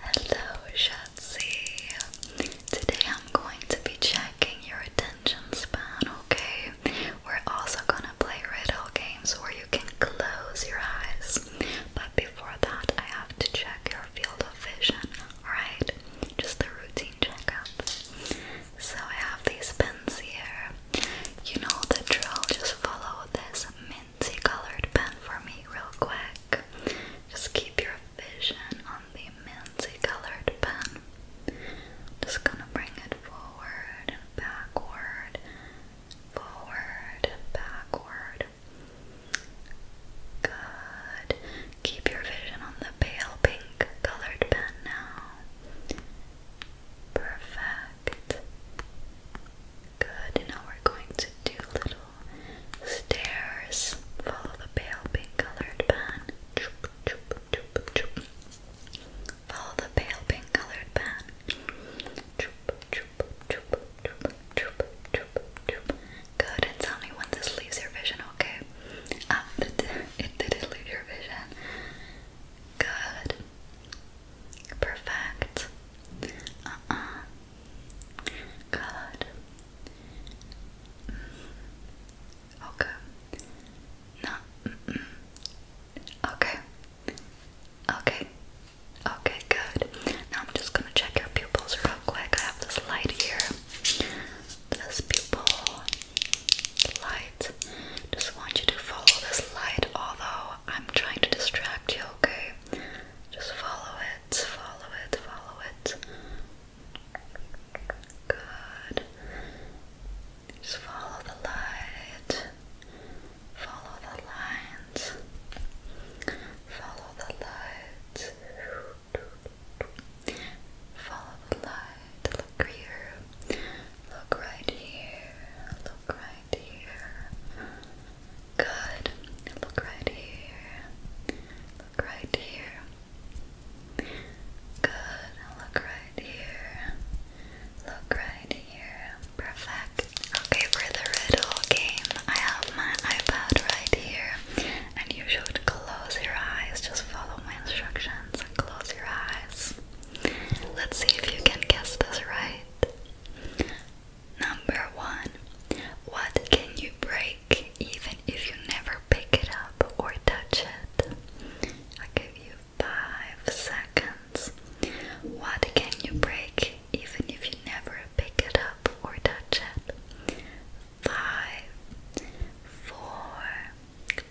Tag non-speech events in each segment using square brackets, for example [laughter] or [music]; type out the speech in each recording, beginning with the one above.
Hello Shatsi. Today I'm going to be checking your attention span, okay? We're also gonna play riddle games where you can close your eyes. But before that I have to check your field of vision, alright? Just a routine checkup. So I have these pins here. You know the drill, just follow this minty colored pen for me real quick. Just keep your vision on the minty colored pen. Just gonna bring it forward and backward, forward and backward. Good. Keep your vision on the pale pink colored pen now. Perfect. Good. Now we're going to do little stairs. Follow the pale pink colored pan. Choop, choop, choop, choop. Follow the pale pink colored pan. Choop, choop, choop, choop, choop, choop, choop. Good, and tell me when this leaves your vision, okay? Um, [laughs] it did leave your vision. Good. Perfect. uh Good. Mm. Okay. No. Okay. Okay. Okay, good. Now I'm just gonna check your pupils real quick. I have this light here. This pupil light. Just want you to follow this light, although I'm trying to distract you, okay? Just follow it, follow it, follow it. Good. Just follow the light. Follow the lines. Follow the light. Follow the light. Look here. Look right here. Look right right here. Good. Look right here. Look right here. Good. Look right here. Look right here. Perfect. Okay, for the riddle game, I have my iPad right here, and you should close your eyes. Just follow my instructions and close your eyes. Let's see if you can guess this right. Number one, what can you break even if you never pick it up or touch it? i give you five seconds. What can you break even if you never pick it up or touch it? Five, four,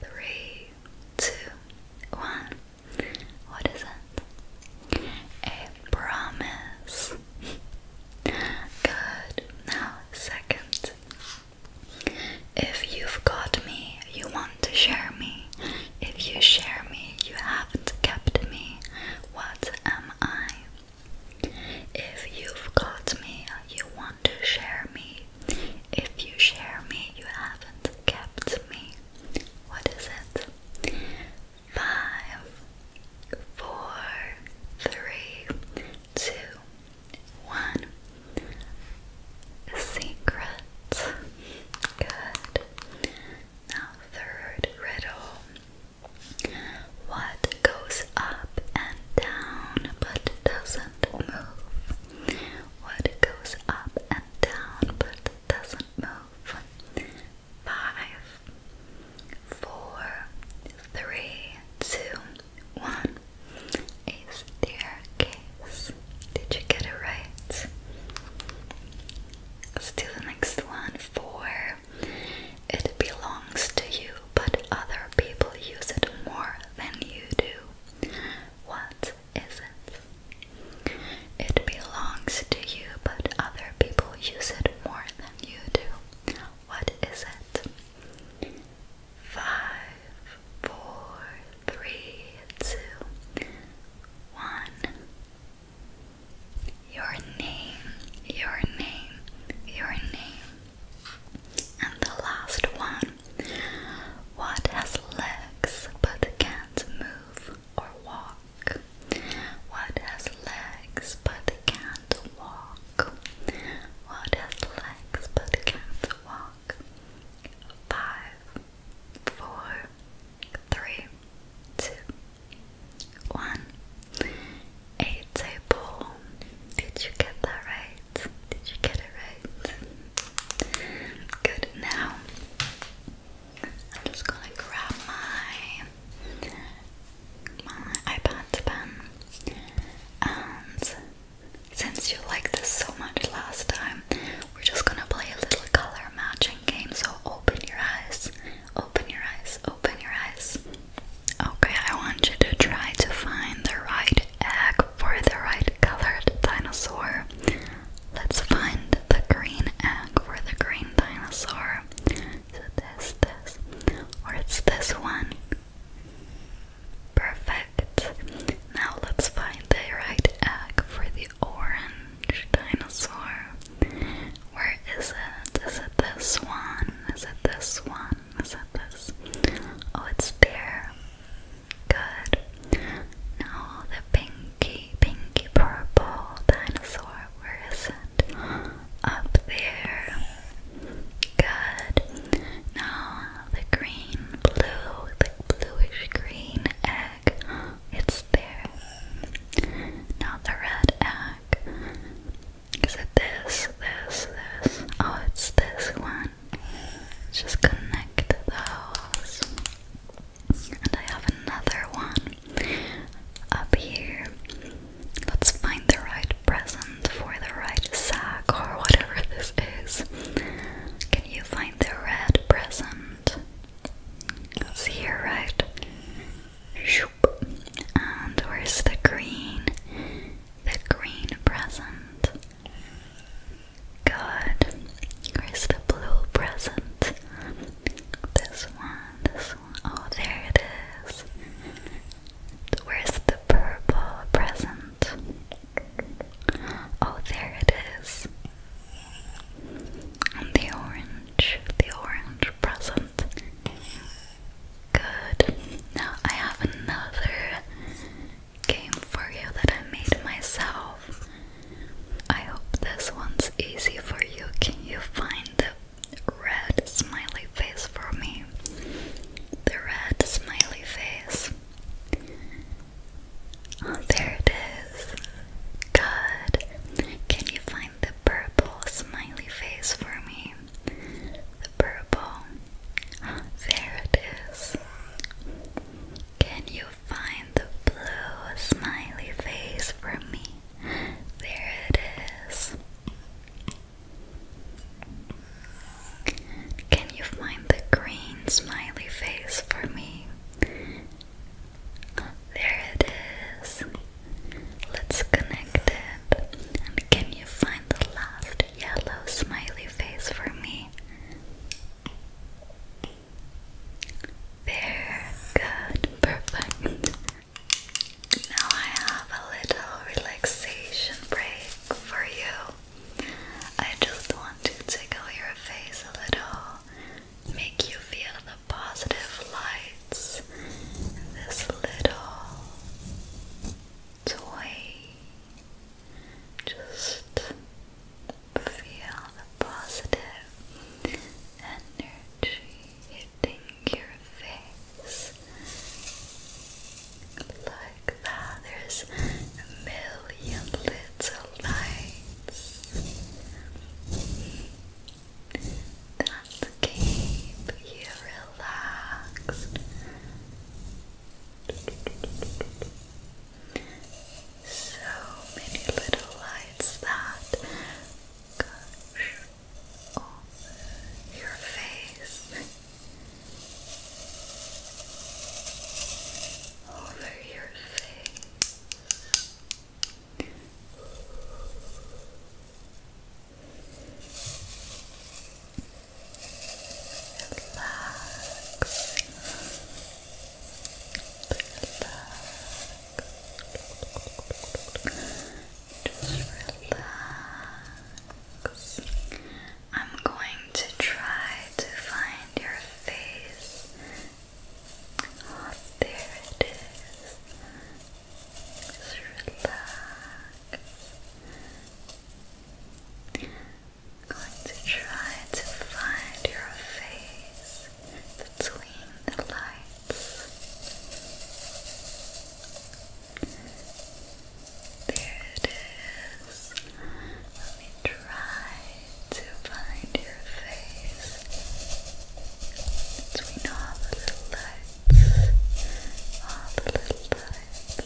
three, two, one. What is it? A promise. Good. Now, second. If you've got me, you want to share me. If you share me, you haven't kept me. What am I? If you've got me, you want to share me. If you share me, you haven't kept me. What is it? five, four, three, two, one. Secrets. Good. Now, third riddle. What goes up and down but doesn't move? What goes up and down but doesn't move? five, four, three, two, one. A staircase. Did you get it right? Let's do the next one. Four. It belongs to you, but other people use it more than you do. What is it? It belongs to you, but other people use it more than you do. What is it? Five, four, three, two, one. Your name, your name, your name. And the last one. What has legs but can't move? or walk. What has legs but can't walk? What has legs but can't walk? Five, four, three, two, one. It's a Did you get that right? Did you get it right? Good. Now I'm just gonna grab my my iPad pen and since you liked this so much last time, we're just gonna play a little color matching game. So open your eyes, open your eyes, open your eyes. Okay, I want you to try to find the right egg for the right colored dinosaur. Let's find the green egg for the green dinosaur. Is this, this, or it's this one? Perfect. Now let's find the right egg for the orange dinosaur. Where is it? Is it this one? Is it this one? Is it this? Oh, it's there. Good. Now the pink pinky, purple dinosaur. Where is it? Up there. Good. Now the green, blue, the bluish green egg. It's there. Now the red egg. Is it this, this, this? Oh, it's this one. Just connect those. And I have another one up here, let's find the right present for the right sack or whatever [laughs] this is. Can you find the red present? It's here, right? And where's the green? The green present. Good. Where's the blue present? This one, this one. Oh, there it is. Where's the purple present? Oh, there it is. And the orange, the orange present. Good. Now I have another game for you that I made myself. I hope this one's easy for you. Can you find the red smiley face for me? The red smiley face. Oh, there it is. Good. Can you find the purple smiley face for me? The purple. There it is. Can you find the blue smiley face for me. There it is. Can you find the green smiley face for me? There it is. Let's connect it. And can you find the last yellow smiley face for me? There, good, perfect. Now I have a little relaxation break for you. I just want to tickle your face a little, make you feel the positive lights this little toy. Just Feel the positive energy hitting your face. Like that, there's a million little lights that keep you relaxed so many little lights that gush over your face, over your face. Relax. Just relax. I'm going to try to find your face. there it is. Just relax. I'm going to try to find your face between the lights. There it is. Let me try to find your face between all the lights. All the lights.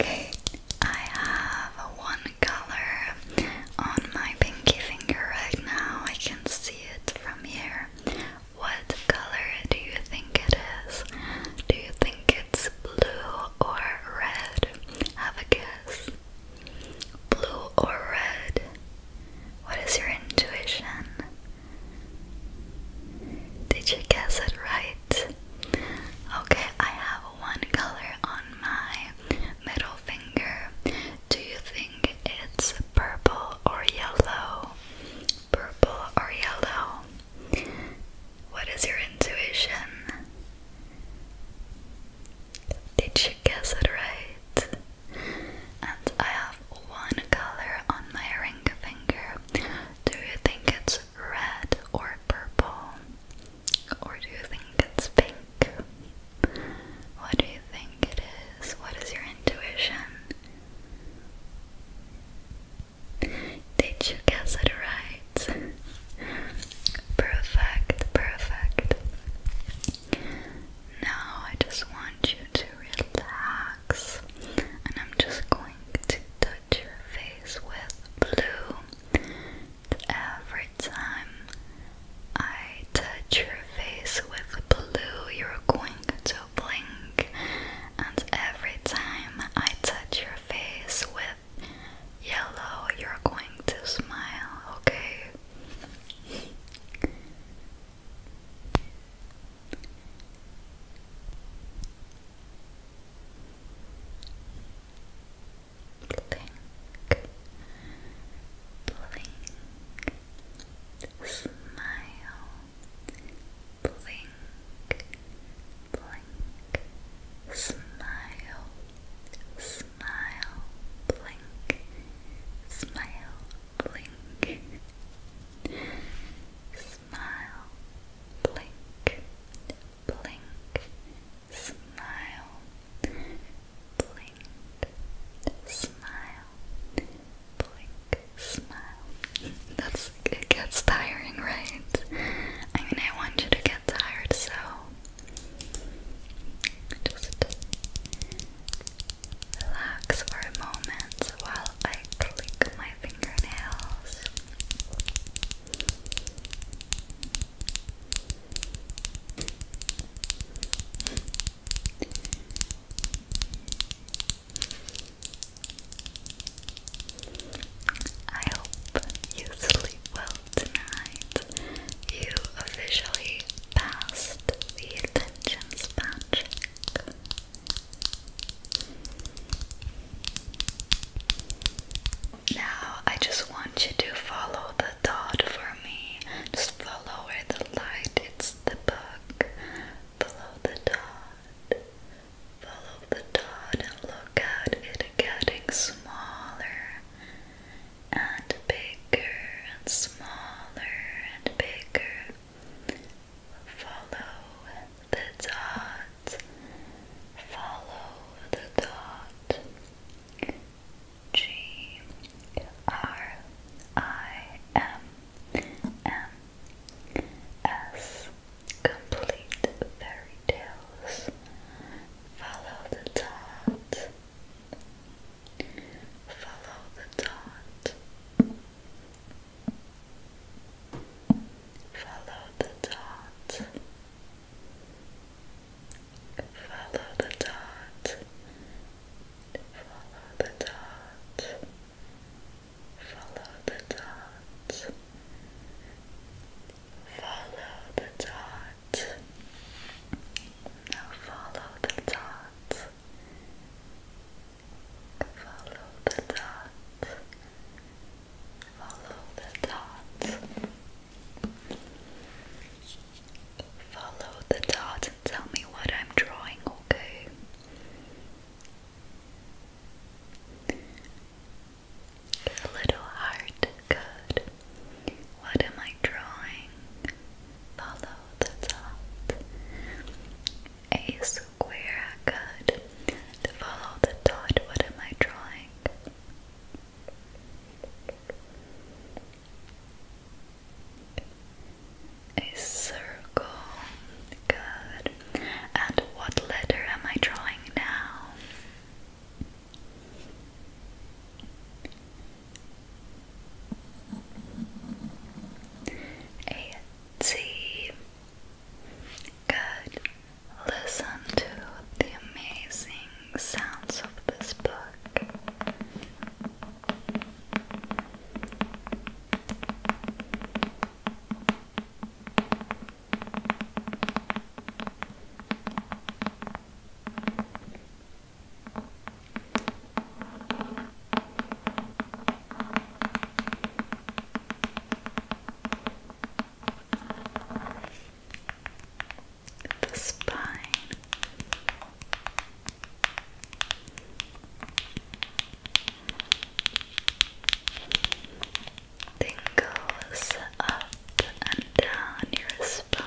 Okay, I have one color on my pinky finger right now. I can see it from here. What color do you think it is? Do you think it's blue or red? Have a guess. Blue or red? What is your intuition? Did you guess it right? Okay, I have one color on my middle finger. Do you think it's purple or yellow? Purple or yellow? What is your intuition? Did you guess it right? And I have one color on my ring finger. Do you think it's red or purple? Or do you think it's pink? What do you think it is? What is your intuition? Did you guess it right? Perfect, perfect. Now I just want you to relax, and I'm just going to touch your face with blue. Every time I touch your face with blue, you're going to blink, and every time I touch your face with yellow, you're going to smile, okay? Blink, blink, smile, blink, blink, smile, smile, blink, smile, blink, smile, blink, blink, smile, blink, smile, blink, smile. That's it gets tiring, right? I mean, I want you to get tired, so just Relax for a moment while I click my fingernails. I hope you sleep well tonight. You officially passed the attention span Now, I just want you to follow the dot for me. Just follow where the light it's the book. Follow the dot. Follow the dot and look at it getting smaller and bigger bigger and smaller and bigger. Follow the dot, follow the dot. G R I M M S Complete Fairy Tales. Follow the dot. Follow the dot. Follow the dot. Follow the dot. Follow the dot. Follow the dot. Follow the dot. Now follow the dot. Follow the dots. Follow the dots. Follow the dots and tell me what I'm drawing, okay? A little heart, good. What am I drawing? Follow the dot. A square, good. To follow the dot, what am I drawing? A circle, good. And what letter am I drawing now? A T. Good. Listen to the amazing sounds of this book the spine. Tingles up and down your spine.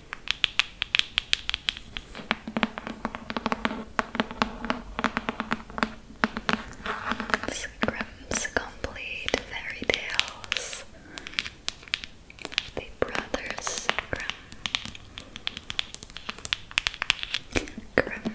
Grimm's Complete Fairy The Brothers Grimm. Grimm, Grimm.